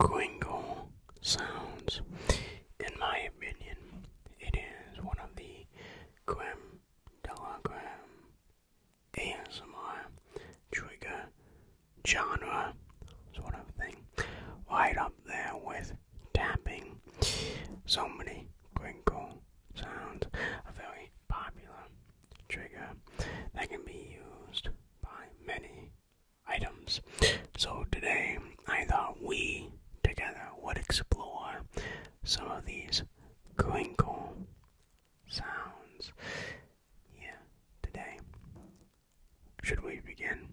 Klingle sounds. In my opinion, it is one of the creme de la trigger genre sort of thing. Right up there with tapping. So many crinkle sounds. A very popular trigger that can be used by many items. So today I thought we together would explore some of these crinkle sounds. Yeah, today. Should we begin?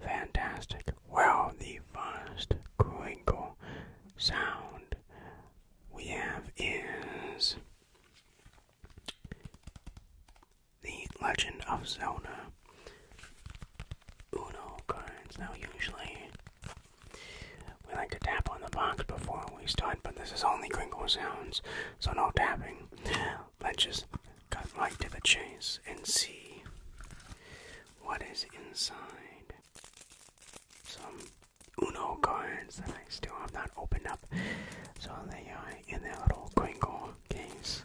Fantastic. Well, the first crinkle sound we have is the Legend of Zelda Uno cards. Now, usually we like to tap on the box before we start, but this is only crinkle sounds, so no tapping. Let's just cut right to the chase and see what is inside. Some Uno cards that I still have not opened up, so they are in their little crinkle case.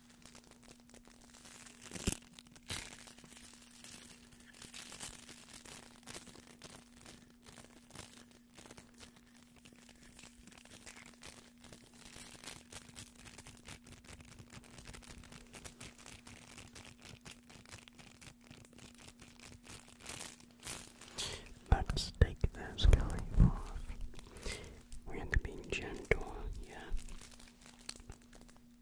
Let's take those going off. We have to be gentle, yeah.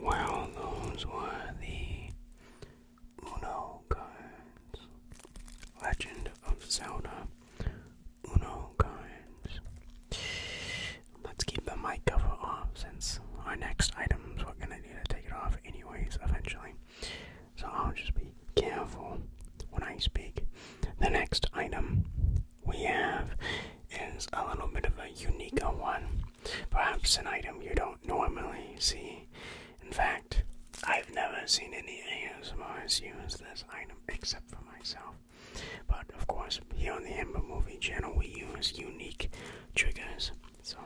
Wow, those were the Uno cards. Legend of Zelda Uno cards. Let's keep the mic cover off since our next items we gonna to take it off anyways eventually. So I'll just be careful when I speak. The next item we have is a little bit of a unique one. Perhaps an item you don't normally see. In fact, I've never seen any of ASMRs use this item except for myself. But of course, here on the Ember Movie channel, we use unique triggers so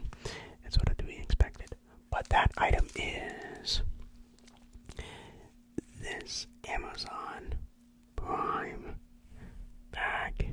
that's what we expected. But that item is this Amazon Prime bag.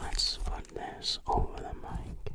Let's put this over the mic.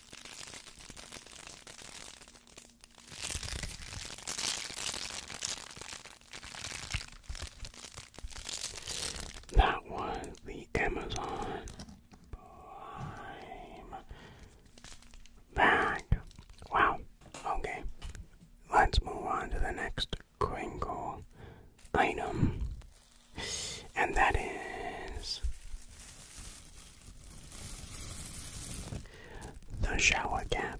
That was the Amazon Prime bag. Wow. Okay. Let's move on to the next crinkle item and that is the shower cap.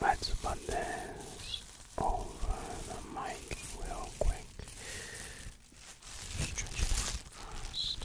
Let's put this over the mic real quick. first.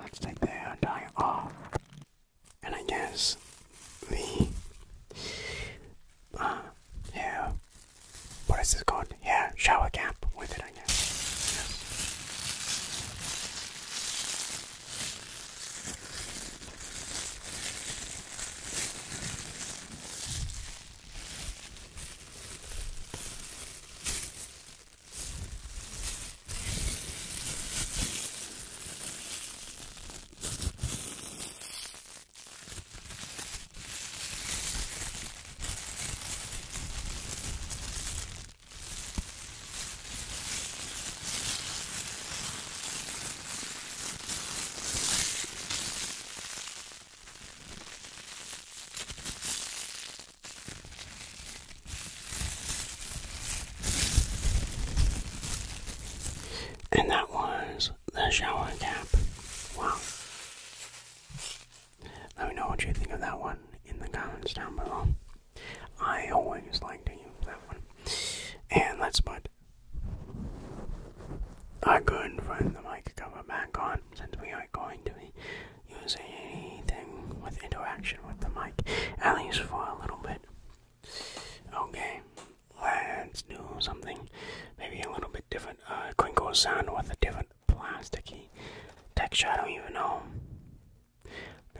Let's take the hair dye off, and I guess we, uh, hair what is this called? Yeah, shower cap with it, I guess. And that was the shower cap. Wow. Let me know what you think of that one in the comments down below. I always like to use that one. And let's put couldn't find the mic cover back on since we are going to be using anything with interaction with the mic, at least for a little bit. Okay, let's do something maybe a little bit different. Uh, crinkle sound with a different plasticky texture. I don't even know.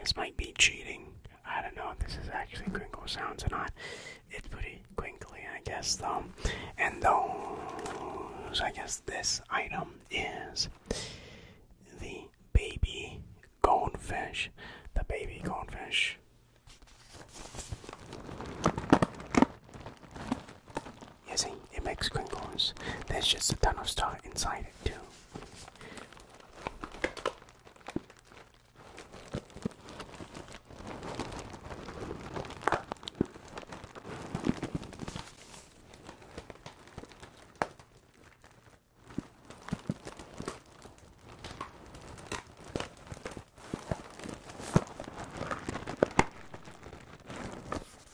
This might be cheating. I don't know if this is actually crinkle sounds or not. It's pretty quinkly, I guess, though. And those, I guess, this item is the baby goldfish. The baby goldfish. You see, it makes crinkles. There's just a ton of stuff inside it too.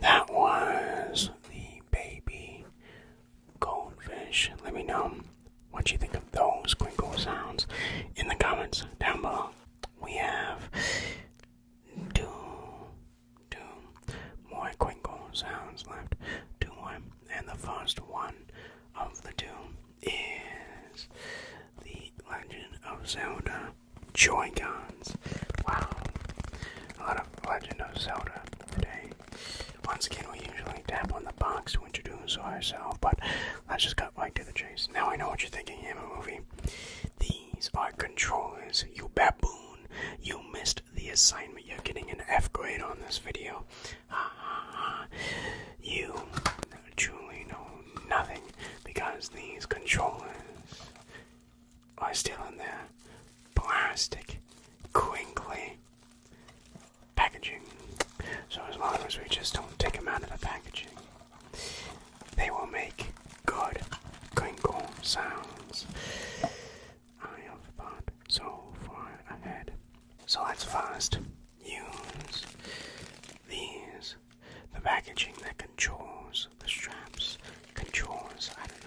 That was the baby goldfish. Let me know what you think of those crinkle sounds in the comments down below. We have two Two more quinkle sounds left. Two more. And the first one of the two is The Legend of Zelda Joycons. Wow. A lot of Legend of Zelda today. Once again, we usually tap on the box when to so ourselves, but let's just cut right to the chase. Now I know what you're thinking. Hammer movie. The these are controllers, you baboon. You missed the assignment. You're getting an F grade on this video. You truly know nothing because these controllers are still in their plastic, crinkly packaging. So as long as we just don't take them out of the packaging, they will make good crinkle sounds I have thought so far ahead. So let's first use these. The packaging that controls the straps controls, I don't know.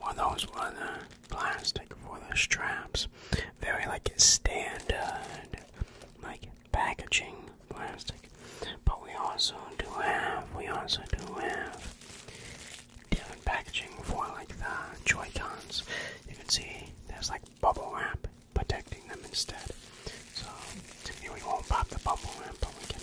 One those was uh, plastic for the straps. Very like standard, like packaging plastic. But we also do have, we also do have different packaging for like the Joycons. You can see there's like bubble wrap protecting them instead. So, we won't pop the bubble wrap, but we can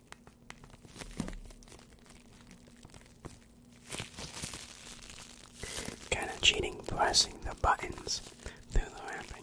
Kind of cheating pressing the buttons through the wrapping.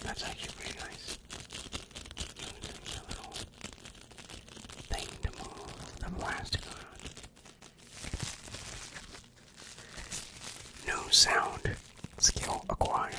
That's actually pretty nice. There's a little thing to move the plastic around. New sound skill acquired.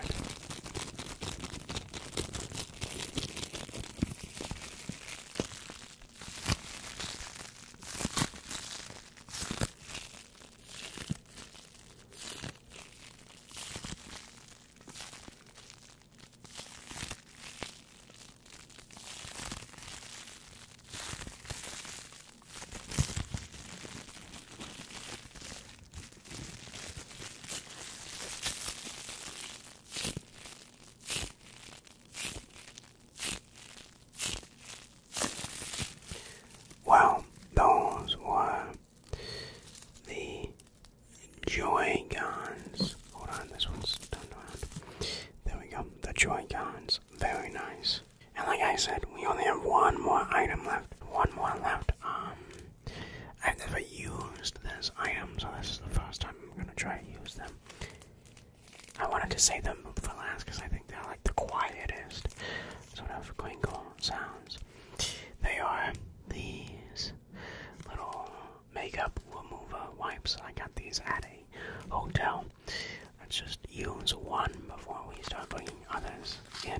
Well, those were the Joy Guns. Hold on, this one's turned around. There we go. The Joy Guns very nice. And like I said, we only have one more item left. One more left. Um, I've never used this item, so this is the first time I'm gonna try to use them. I wanted to save them for last because I think they're like the quietest sort of crinkle sounds. They are these little makeup remover wipes. I got these at a hotel. Let's just use one before we start bringing others in.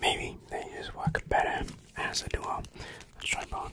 Maybe they just work better as a duo. Let's try both.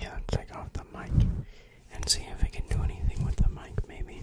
Yeah, take off the mic and see if I can do anything with the mic, maybe.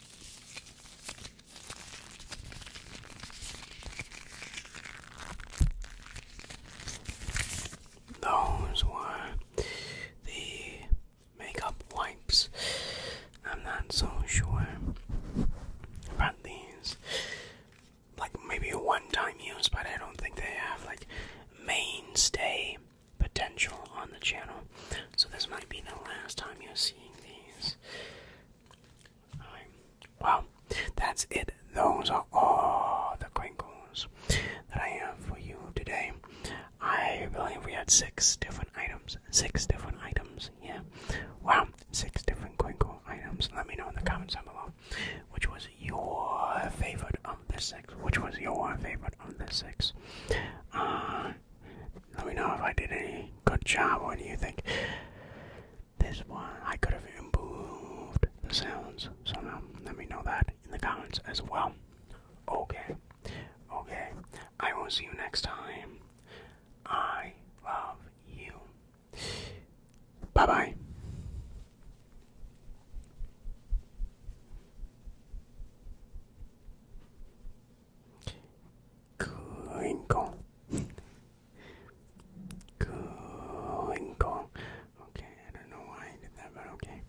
Those were the makeup wipes. I'm not so sure about these. Like maybe a one time use, but I don't think they have like mainstay potential on the channel. So this might be the last time you're seeing these. Alright. Well, that's it. Those are all the crinkles that I have for you today. I believe we had six different items. Six different items, yeah. Wow, six different crinkle items. Let me know in the comments down below which was your favorite of the six. Which was your favorite of the six? Uh, let me know if I did any good job. What do you think? This one, I could have improved the sounds somehow. Let me know that in the comments as well. Okay, okay. I will see you next time. I love you. Bye bye. Crinkle. Crinkle. Okay, I don't know why I did that, but okay.